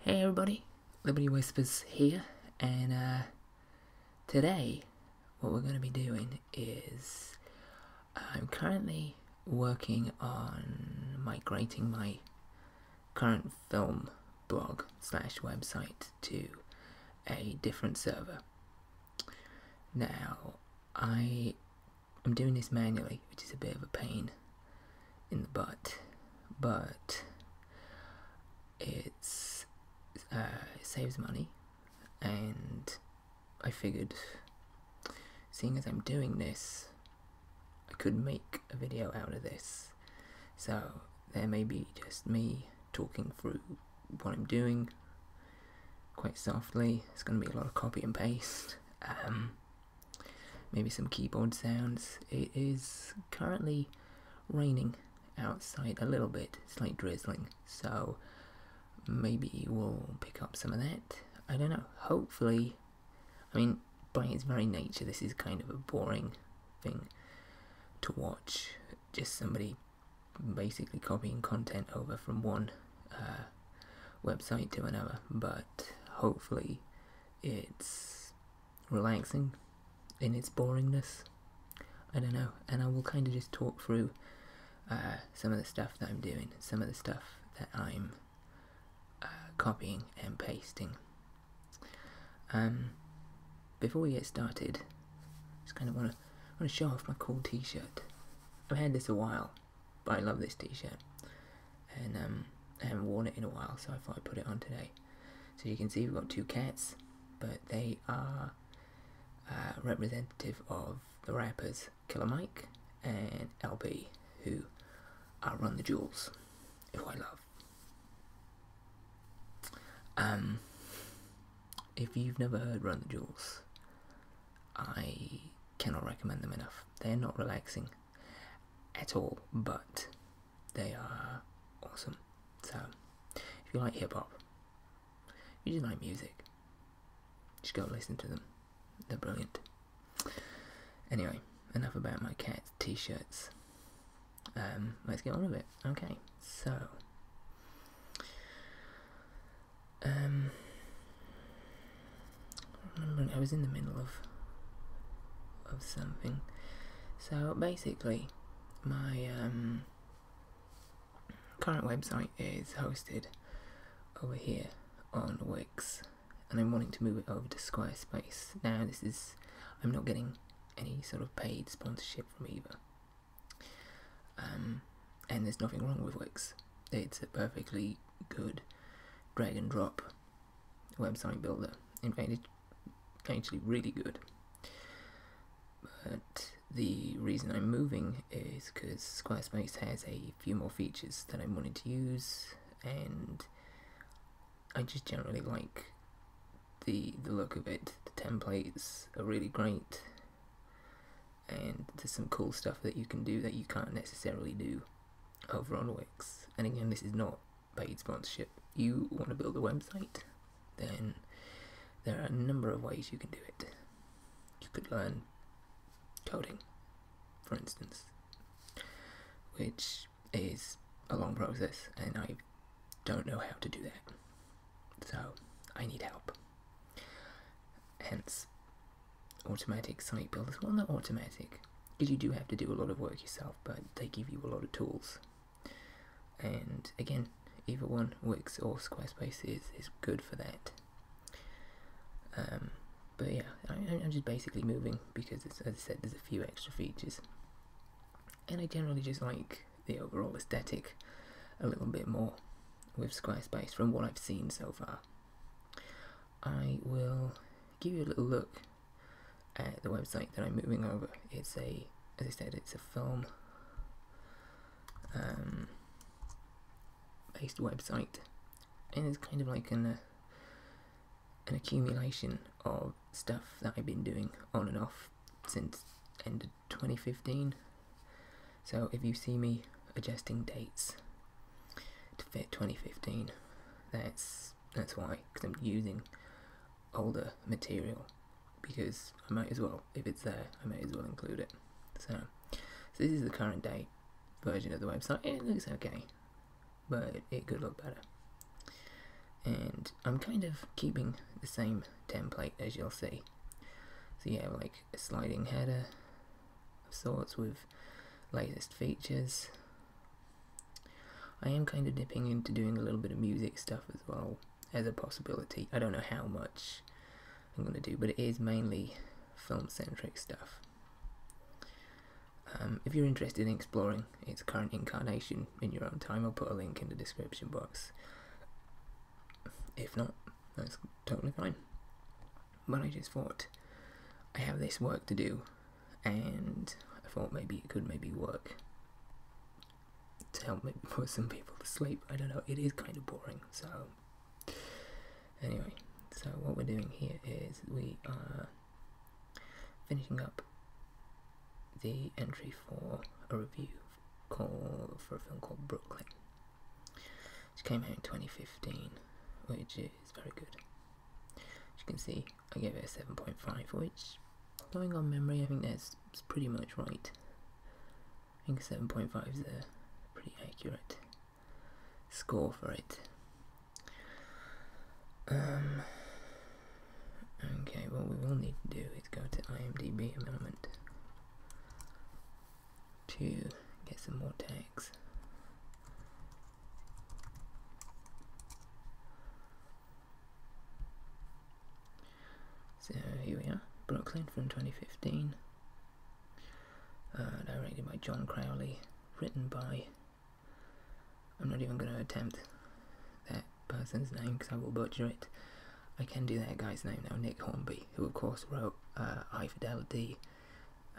Hey everybody, Liberty Whispers here, and uh, today what we're going to be doing is I'm currently working on migrating my current film blog slash website to a different server. Now, I am doing this manually, which is a bit of a pain in the butt, but uh, it saves money, and I figured, seeing as I'm doing this, I could make a video out of this. So there may be just me talking through what I'm doing quite softly. It's going to be a lot of copy and paste. Um, maybe some keyboard sounds. It is currently raining outside a little bit. slight drizzling. So maybe we'll pick up some of that. I don't know. Hopefully, I mean, by its very nature, this is kind of a boring thing to watch. Just somebody basically copying content over from one uh, website to another, but hopefully it's relaxing in its boringness. I don't know, and I will kind of just talk through uh, some of the stuff that I'm doing, some of the stuff that I'm uh, copying and pasting. Um, before we get started, just kind of want I am going to show off my cool t-shirt. I've had this a while, but I love this t-shirt. And um, I haven't worn it in a while, so I thought I'd put it on today. So you can see we've got two cats, but they are uh, representative of the rappers Killer Mike and LB, who are Run the Jewels, who I love. Um, if you've never heard Run the Jewels, I cannot recommend them enough. They're not relaxing at all, but they are awesome. So, if you like hip hop, if you just like music, just go listen to them. They're brilliant. Anyway, enough about my cat's t shirts. Um, let's get on with it. Okay, so um, I was in the middle of of something. So basically, my um, current website is hosted over here on Wix, and I'm wanting to move it over to Squarespace. Now, this is I'm not getting any sort of paid sponsorship from either um, and there's nothing wrong with Wix. It's a perfectly good drag and drop website builder. In fact, it's actually really good. But the reason I'm moving is because Squarespace has a few more features that I am wanting to use, and I just generally like the the look of it. The templates are really great and there's some cool stuff that you can do that you can't necessarily do over on Wix. And again, this is not paid sponsorship. You want to build a website, then there are a number of ways you can do it. You could learn coding, for instance, which is a long process, and I don't know how to do that. So I need help. Hence, automatic site builders, well, not automatic, because you do have to do a lot of work yourself, but they give you a lot of tools. And again, either one, works or Squarespace, is, is good for that. Um, but yeah, I, am just basically moving because, as I said, there's a few extra features. And I generally just like the overall aesthetic a little bit more with Squarespace from what I've seen so far. I will give you a little look at the website that I'm moving over. It's a, as I said, it's a film um, based website and it's kind of like an, uh, an accumulation of stuff that I've been doing on and off since end 2015. So if you see me adjusting dates to fit 2015, that's that's why, because I'm using older material. Because I might as well, if it's there, I might as well include it. So, this is the current date version of the website. It looks okay, but it could look better. And I'm kind of keeping the same template as you'll see. So yeah, like a sliding header of sorts with latest features. I am kind of dipping into doing a little bit of music stuff as well as a possibility. I don't know how much I'm going to do, but it is mainly film-centric stuff. Um, if you're interested in exploring its current incarnation in your own time, I'll put a link in the description box. If not, that's totally fine. But I just thought, I have this work to do, and I thought maybe it could maybe work to help put some people to sleep. I don't know, it is kind of boring, so. Anyway, so what we're doing here is we are finishing up the entry for a review for a film called Brooklyn. She came out in 2015, which is very good. As you can see, I gave it a 7.5, which, going on memory, I think that's pretty much right. I think 7.5 is a pretty accurate score for it. Um, okay, what we will need to do is go to IMDb a moment to get some more tags. So here we are, Brooklyn from 2015, uh, directed by John Crowley, written by, I'm not even going to attempt that person's name because I will butcher it, I can do that guy's name now, Nick Hornby, who of course wrote uh, High Fidelity,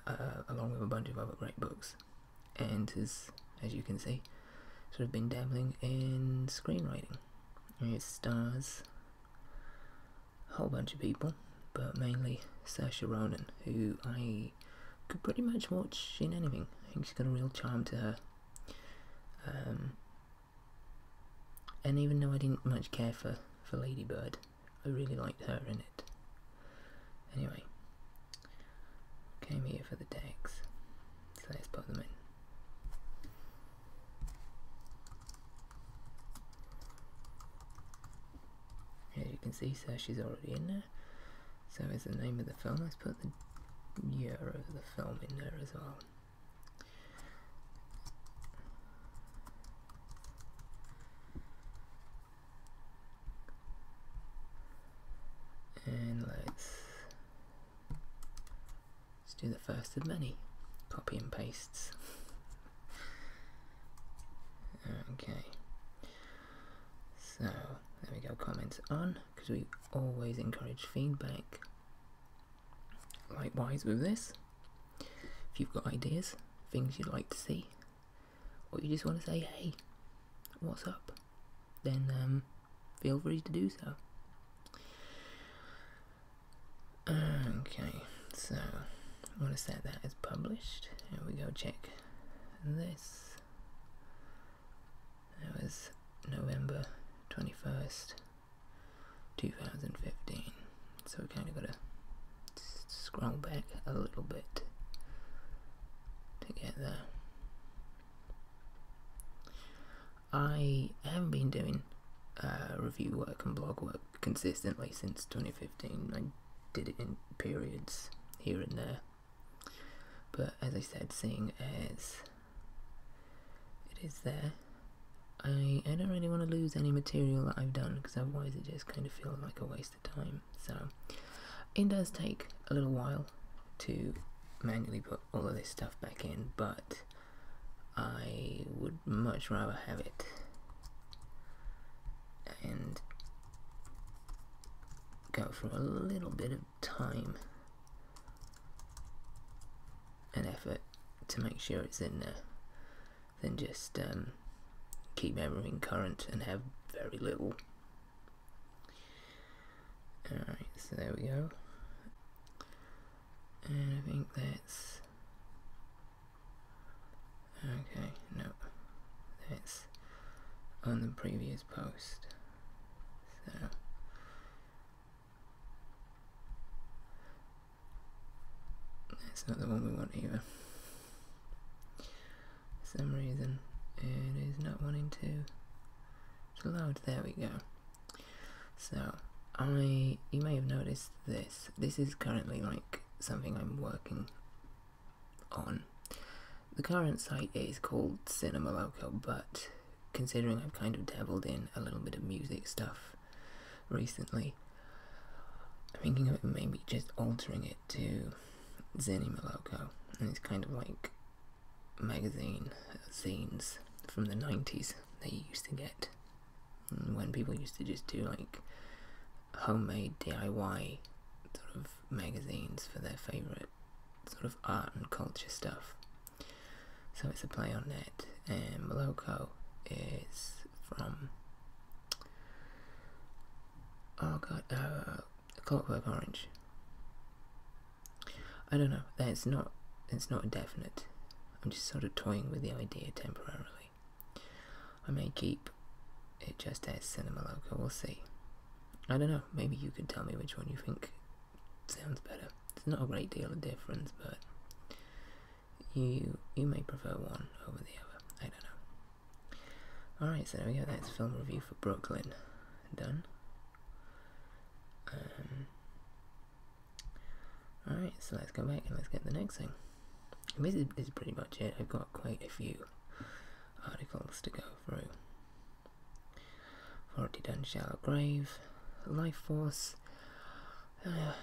uh, along with a bunch of other great books, and has, as you can see, sort of been dabbling in screenwriting. It stars a whole bunch of people, but mainly Saoirse Ronan, who I could pretty much watch in anything. I think she's got a real charm to her. Um, and even though I didn't much care for, for Ladybird, I really liked her in it. Anyway, came here for the tags, so let's put them in. As you can see, so she's already in there. So is the name of the film. Let's put the year of the film in there as well. And let's, let's do the first of many copy and pastes. okay. So there we go, comments on, because we always encourage feedback. Likewise with this, if you've got ideas, things you'd like to see, or you just want to say, hey, what's up, then um, feel free to do so. Okay, so I'm going to set that as published. Here we go, check this. That was November 21st. 2015. So we kind of got to scroll back a little bit to get there. I haven't been doing uh, review work and blog work consistently since 2015. I did it in periods here and there. But as I said, seeing as it is there, I, I don't really want to lose any material that I've done because otherwise it just kind of feels like a waste of time. So it does take a little while to manually put all of this stuff back in, but I would much rather have it and go for a little bit of time an effort to make sure it's in there then just um, keep everything current and have very little. Alright, so there we go. And I think that's... Okay, no. That's on the previous post. So... It's not the one we want either. For some reason it is not wanting to to load. There we go. So I you may have noticed this. This is currently like something I'm working on. The current site is called Cinema Local, but considering I've kind of dabbled in a little bit of music stuff recently. I'm thinking of maybe just altering it to Zenny Maloko, and it's kind of like magazine scenes from the 90s that you used to get when people used to just do like homemade DIY sort of magazines for their favourite sort of art and culture stuff. So it's a play on that, and Maloko is from oh god, uh, Clockwork Orange. I don't know. That's not. It's not definite. I'm just sort of toying with the idea temporarily. I may keep it just as Cinema Loco. We'll see. I don't know. Maybe you could tell me which one you think sounds better. It's not a great deal of difference, but you you may prefer one over the other. I don't know. Alright, so there we go. That's film review for Brooklyn done. Um, alright, so let's go back and let's get the next thing. this is, pretty much it. I've got quite a few articles to go through. Already done Shallow Grave, Life Force, uh,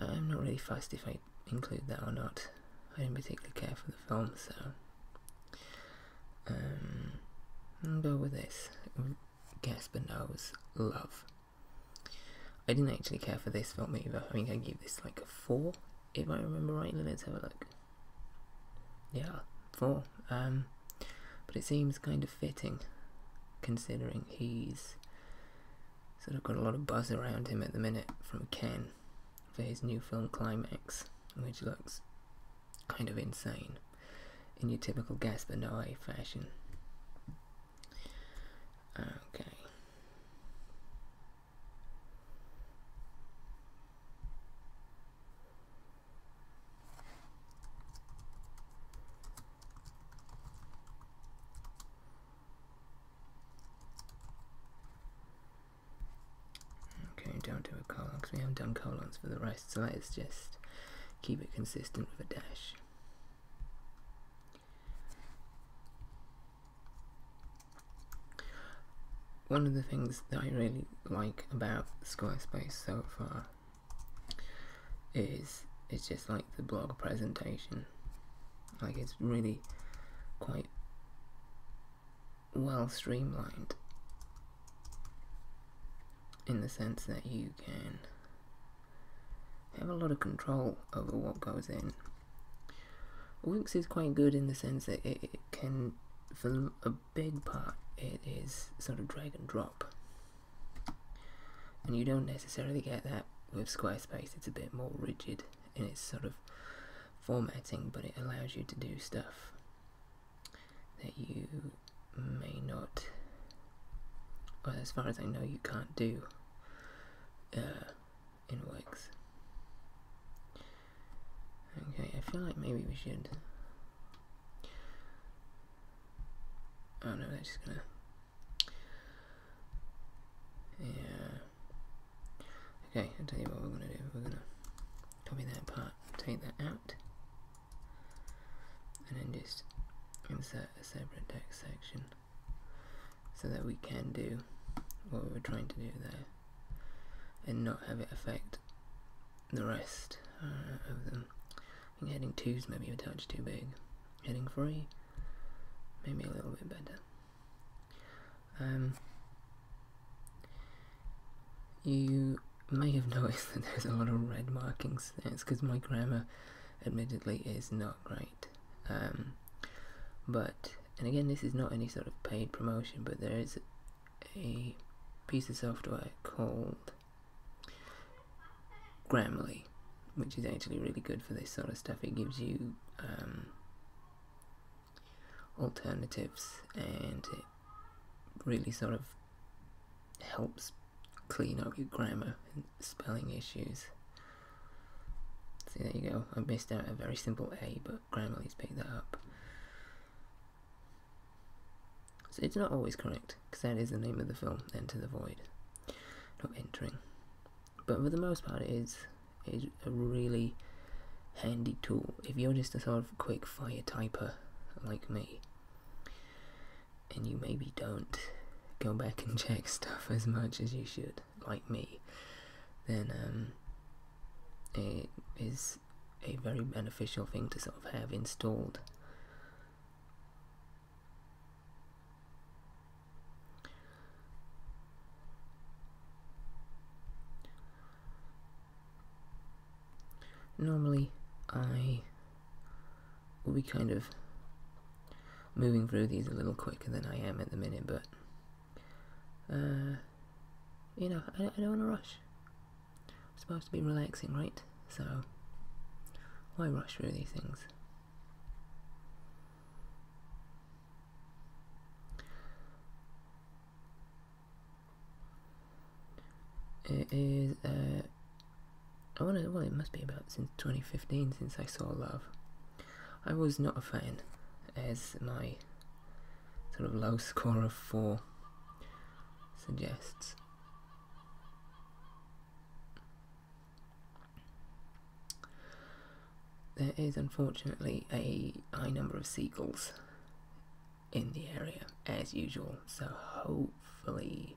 I'm not really fussed if I include that or not. I did not particularly care for the film, so um, go with this. Gaspar Noe's Love. I didn't actually care for this film either. I think I gave this like a four, if I remember rightly. Let's have a look. Yeah, four. Um, but it seems kind of fitting, considering he's Sort of got a lot of buzz around him at the minute from Ken for his new film Climax, which looks kind of insane in your typical Gaspar Noé fashion. Okay. Okay, do to do a colon because we haven't done colons for the rest, so let's just keep it consistent with a dash. One of the things that I really like about Squarespace so far is it's just like the blog presentation. Like it's really quite well streamlined in the sense that you can have a lot of control over what goes in. Wix is quite good in the sense that it, can, for a big part, it is sort of drag and drop and you don't necessarily get that with Squarespace. It's a bit more rigid in its sort of formatting, but it allows you to do stuff that you may not, well, as far as I know, you can't do uh, in Wix. Okay, I feel like maybe we should. Oh no, that's just gonna yeah. Okay, I'll tell you what we're going to do. We're going to copy that part, take that out, and then just insert a separate text section so that we can do what we were trying to do there and not have it affect the rest uh, of them. I think heading two's maybe a touch too big. Heading three, maybe a little bit better. Um, you may have noticed that there's a lot of red markings. It's because my grammar, admittedly, is not great. Um, but and again, this is not any sort of paid promotion, but there is a piece of software called Grammarly, which is actually really good for this sort of stuff. It gives you um, alternatives and it really sort of helps clean up your grammar and spelling issues. So there you go, I missed out a very simple A, but Grammarly's picked that up. So it's not always correct because that is the name of the film, Enter the Void. Not entering. But for the most part, it is, a really handy tool. If you're just a sort of quick fire typer like me, and you maybe don't go back and check stuff as much as you should, like me, then um, it is a very beneficial thing to sort of have installed Normally, I will be kind of moving through these a little quicker than I am at the minute, but uh, you know, I, I don't want to rush. I'm supposed to be relaxing, right? So, why rush through these things? It is, uh, I want to, well, it must be about since 2015 since I saw Love. I was not a fan, as my sort of low score of 4 suggests. There is unfortunately a high number of seagulls in the area as usual, so hopefully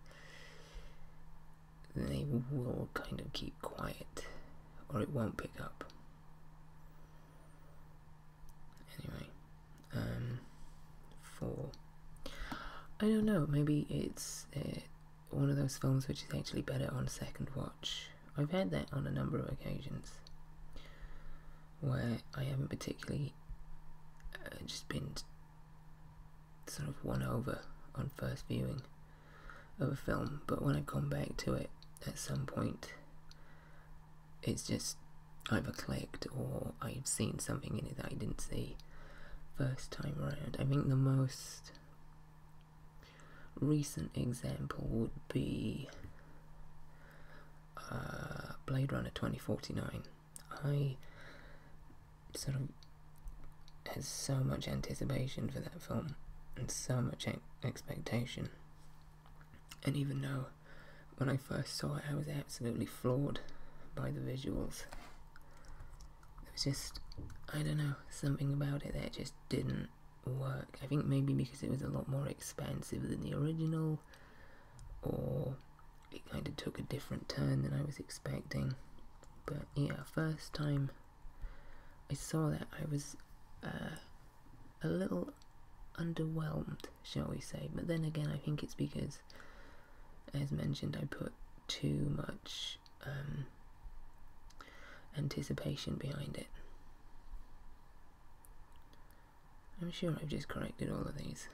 they will kind of keep quiet or it won't pick up. Anyway, um, for I don't know, maybe it's uh, one of those films which is actually better on second watch. I've had that on a number of occasions where I haven't particularly uh, just been sort of won over on first viewing of a film, but when I come back to it at some point, it's just either clicked or I've seen something in it that I didn't see first time around, I think the most recent example would be uh, Blade Runner 2049. I sort of had so much anticipation for that film and so much expectation. And even though when I first saw it, I was absolutely floored by the visuals. It was just, I don't know, something about it that just didn't work. I think maybe because it was a lot more expensive than the original, or it kind of took a different turn than I was expecting. But yeah, first time I saw that, I was uh, a little underwhelmed, shall we say. But then again, I think it's because, as mentioned, I put too much um, anticipation behind it. I'm sure I've just corrected all of these.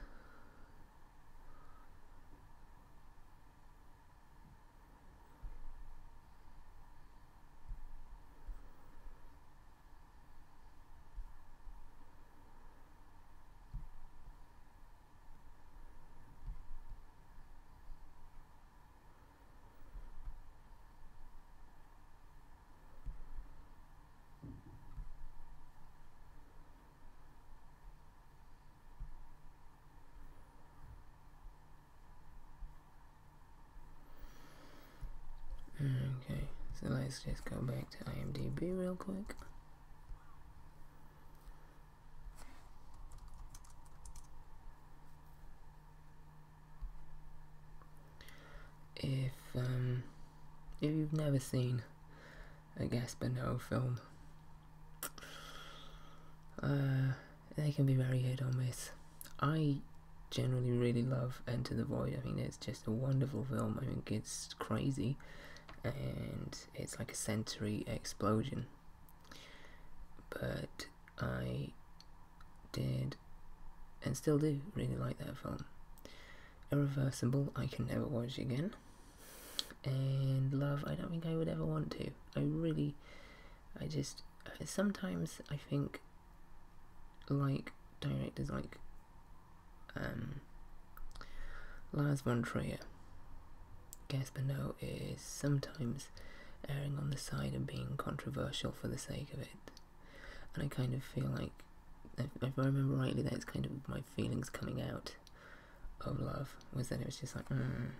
Okay, so let's just go back to IMDb real quick. If, um, if you've never seen a Gaspar film, uh, they can be very hit or miss. I generally really love Enter the Void. I mean, it's just a wonderful film. I think it's crazy, and it's like a sensory explosion. But I did and still do really like that film. Irreversible, I can never watch again. And Love, I don't think I would ever want to. I really, I just, uh, sometimes I think, like directors like um, Lars von Trier, Gaspar is sometimes erring on the side of being controversial for the sake of it. And I kind of feel like, if I remember rightly, that it's kind of my feelings coming out of love, was that it was just like, mm,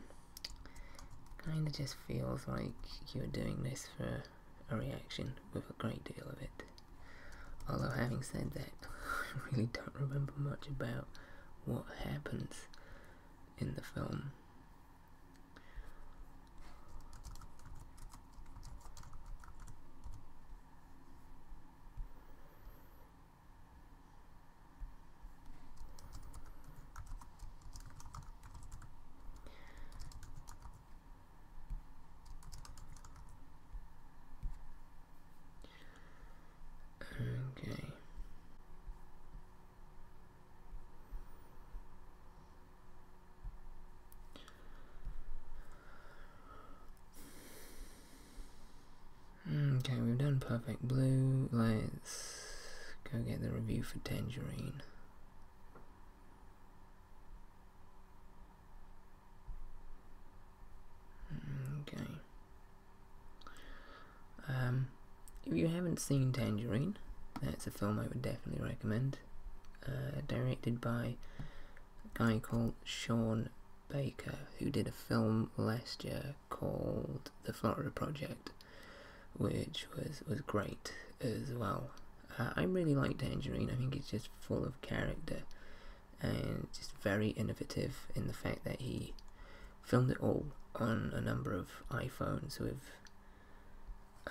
kind of just feels like you're doing this for a reaction with a great deal of it. Although having said that, I really don't remember much about what happens in the film. Okay. Okay, we've done Perfect Blue. Let's go get the review for Tangerine. Okay. Um, if you haven't seen Tangerine, that's a film I would definitely recommend. Uh, directed by a guy called Sean Baker, who did a film last year called The Florida Project, which was, was great as well. Uh, I really like Tangerine, I think it's just full of character and just very innovative in the fact that he filmed it all on a number of iPhones with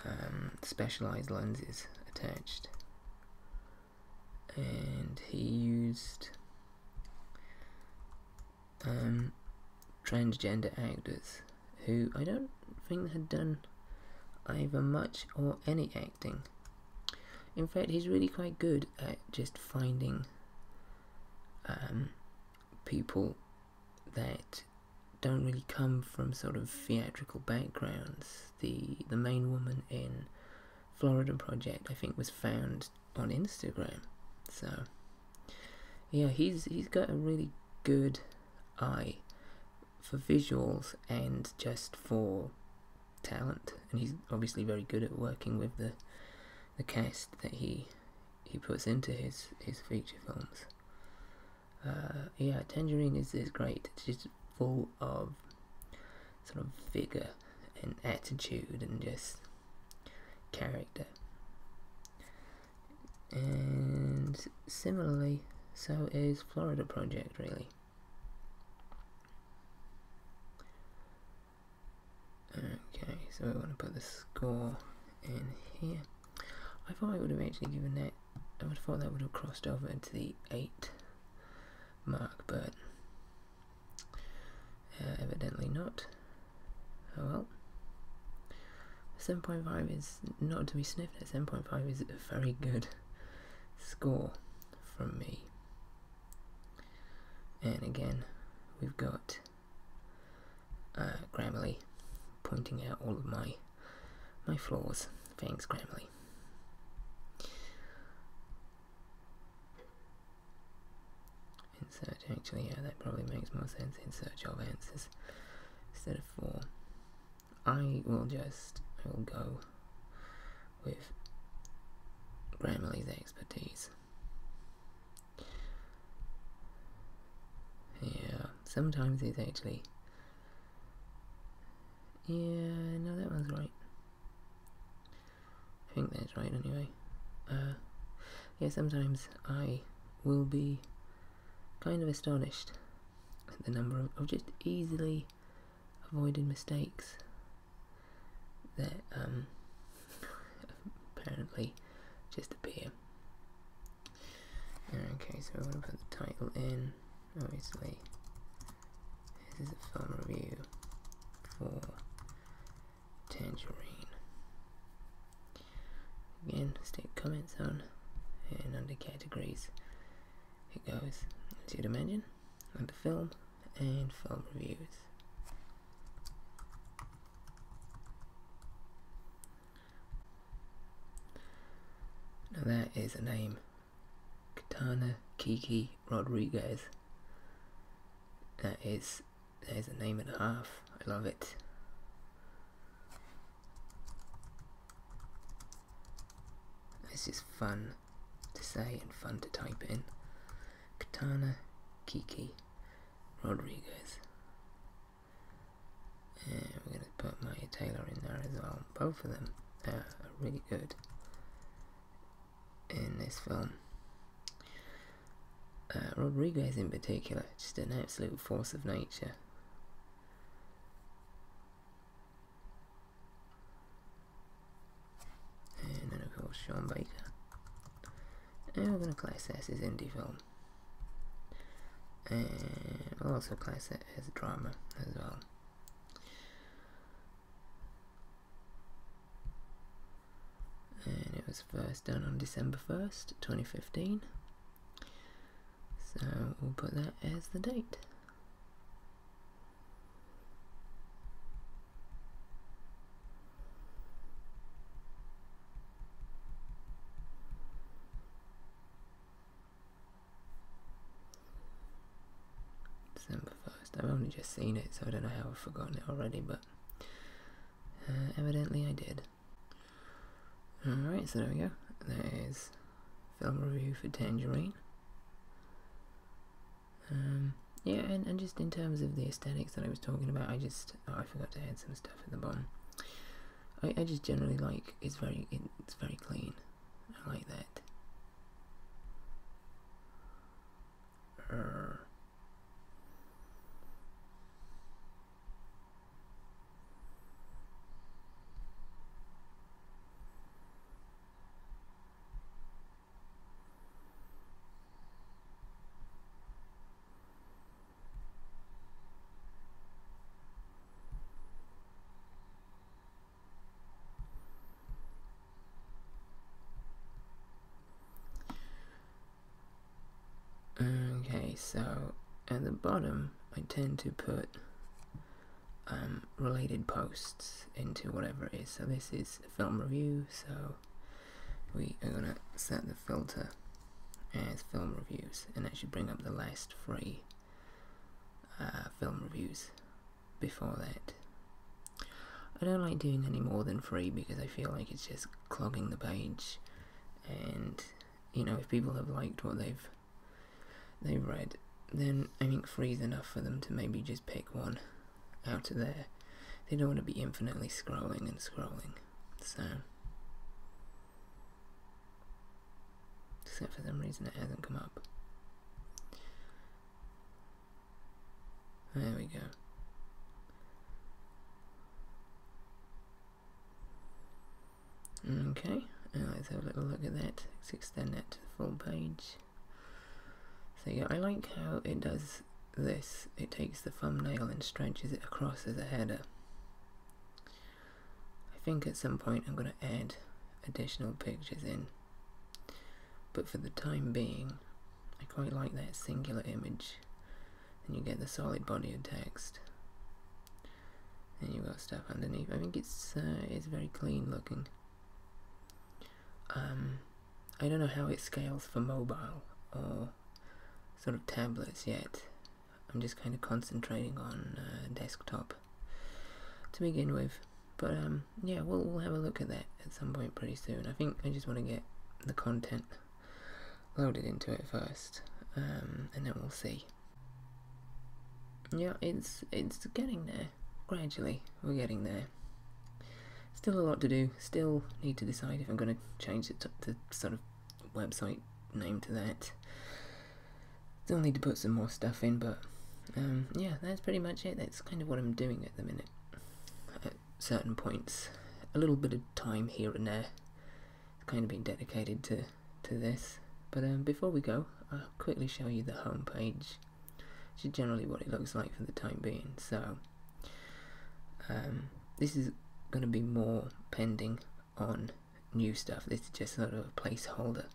um, specialized lenses attached. And he used um, transgender actors who I don't think had done either much or any acting. In fact, he's really quite good at just finding um, people that don't really come from sort of theatrical backgrounds. The the main woman in Florida Project, I think, was found on Instagram. So yeah, he's he's got a really good eye for visuals and just for talent and he's obviously very good at working with the the cast that he he puts into his his feature films. Uh, yeah, Tangerine is is great. It's just full of sort of vigor and attitude and just character. And similarly, so is Florida Project really. Okay, so we want to put the score in here. I thought I would have actually given that, I would have thought that would have crossed over into the 8 mark, but uh, evidently not. Oh well. 7.5 is not to be sniffed at, 7.5 is a very good score from me. And again, we've got uh, Grammarly pointing out all of my, my flaws. Thanks, Grammarly. Insert, actually, yeah, that probably makes more sense in search of answers instead of four, I will just, will go with Grammarly's expertise. Yeah, sometimes it's actually. Yeah, no, that one's right. I think that's right anyway. Uh, yeah, sometimes I will be kind of astonished at the number of just easily avoided mistakes that um, apparently just appear. Okay, so I'm going to put the title in, obviously. This is a film review for Tangerine. Again, stick comments on, and under categories it goes, as you'd imagine, under film and film reviews. Now there is a name, Katana Kiki Rodriguez. That is, that is a name and a half. I love it. This is fun to say and fun to type in. Katana Kiki Rodriguez. And we're going to put Maya Taylor in there as well. Both of them are really good in this film. Uh, Rodriguez in particular, just an absolute force of nature and then of course Sean Baker and we're going to class that as indie film and we'll also class that as drama as well and it was first done on December 1st 2015 so we'll put that as the date December 1st. I've only just seen it, so I don't know how I've forgotten it already, but uh, evidently I did. Alright, so there we go. There is film review for Tangerine. Um, yeah, and, and just in terms of the aesthetics that I was talking about, I just oh, I forgot to add some stuff at the bottom. I, I just generally like it's very it's very clean. I like that. Okay, so at the bottom, I tend to put um, related posts into whatever it is. So this is a film review, so we are gonna set the filter as film reviews and actually bring up the last three uh, film reviews before that. I don't like doing any more than three because I feel like it's just clogging the page and you know if people have liked what they've they've read then I think three is enough for them to maybe just pick one out of there. They don't want to be infinitely scrolling and scrolling. So, except for some reason it hasn't come up. There we go. Okay, let's have a little look at that. Let's extend that to the full page. So yeah, I like how it does this. It takes the thumbnail and stretches it across as a header. I think at some point I'm going to add additional pictures in. But for the time being, I quite like that singular image. And you get the solid body of text. And you've got stuff underneath. I think it's uh, it's very clean looking. Um, I don't know how it scales for mobile or sort of tablets yet. I'm just kind of concentrating on uh, desktop to begin with. But um, yeah, we'll, we'll have a look at that at some point pretty soon. I think I just want to get the content loaded into it first, um, and then we'll see. Yeah, it's it's getting there. Gradually, we're getting there still a lot to do. Still need to decide if I'm going to change the, the sort of website name to that. Still need to put some more stuff in, but um, yeah, that's pretty much it. That's kind of what I'm doing at the minute. At certain points, a little bit of time here and there, it's kind of been dedicated to to this. But um, before we go, I'll quickly show you the homepage which generally what it looks like for the time being. So um, this is going to be more pending on new stuff. This is just sort of a placeholder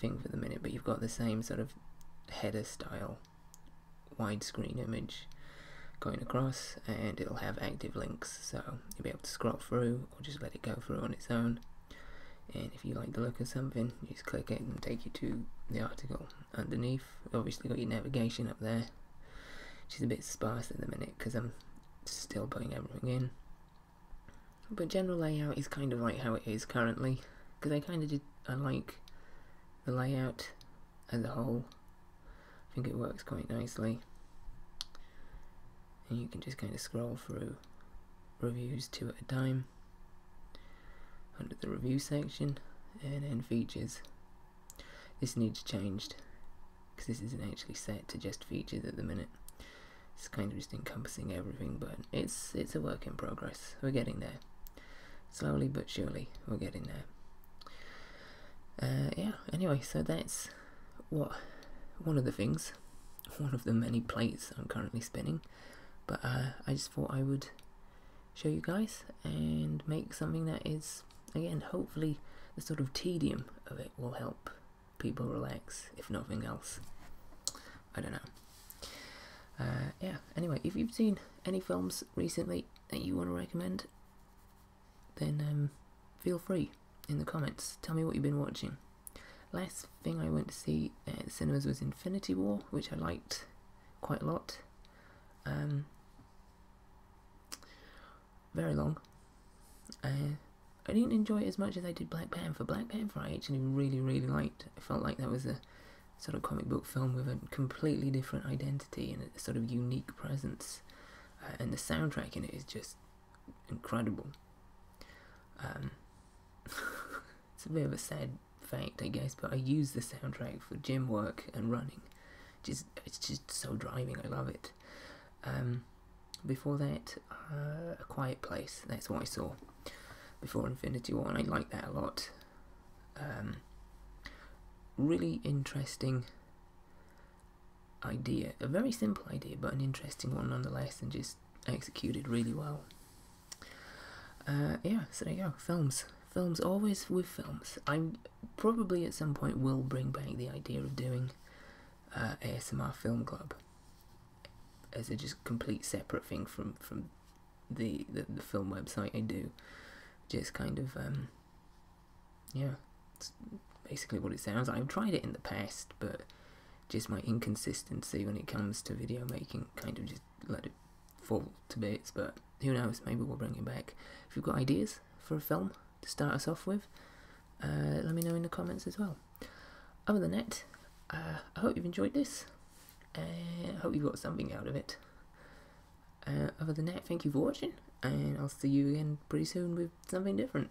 thing for the minute, but you've got the same sort of header style widescreen image going across and it'll have active links so you'll be able to scroll through or just let it go through on its own and if you like the look of something just click it and take you to the article underneath. Obviously got your navigation up there, She's a bit sparse at the minute because I'm still putting everything in. But general layout is kind of like how it is currently because I kind of did, I like the layout as a whole. I think it works quite nicely. And you can just kind of scroll through reviews two at a time under the review section and then features. This needs changed because this isn't actually set to just features at the minute. It's kind of just encompassing everything, but it's it's a work in progress. We're getting there. Slowly but surely, we're getting there. Uh, yeah, anyway, so that's what one of the things, one of the many plates I'm currently spinning. But uh, I just thought I would show you guys and make something that is, again, hopefully the sort of tedium of it will help people relax, if nothing else. I don't know. Uh, yeah, anyway, if you've seen any films recently that you want to recommend, then um, feel free in the comments. Tell me what you've been watching. Last thing I went to see at cinemas was Infinity War, which I liked quite a lot um, very long. Uh, I didn't enjoy it as much as I did Black Panther. Black Panther I actually really, really liked. I felt like that was a sort of comic book film with a completely different identity and a sort of unique presence. Uh, and the soundtrack in it is just incredible. Um, it's a bit of a sad fact, I guess, but I use the soundtrack for gym work and running. Just it's just so driving. I love it. Um, before that, uh, A Quiet Place. That's what I saw before Infinity War, I like that a lot. Um, really interesting idea. A very simple idea, but an interesting one nonetheless, and just executed really well. Uh, yeah, so there you go. Films, films, always with films. I probably at some point will bring back the idea of doing uh, ASMR film club as a just complete separate thing from from the the, film website I do. Just kind of um, yeah, basically what it sounds. I've tried it in the past, but just my inconsistency when it comes to video making kind of just let it fall to bits, but who knows, maybe we'll bring you back. If you've got ideas for a film to start us off with, uh, let me know in the comments as well. Other than that, uh, I hope you've enjoyed this. I hope you got something out of it. Uh, other than that, thank you for watching, and I'll see you again pretty soon with something different.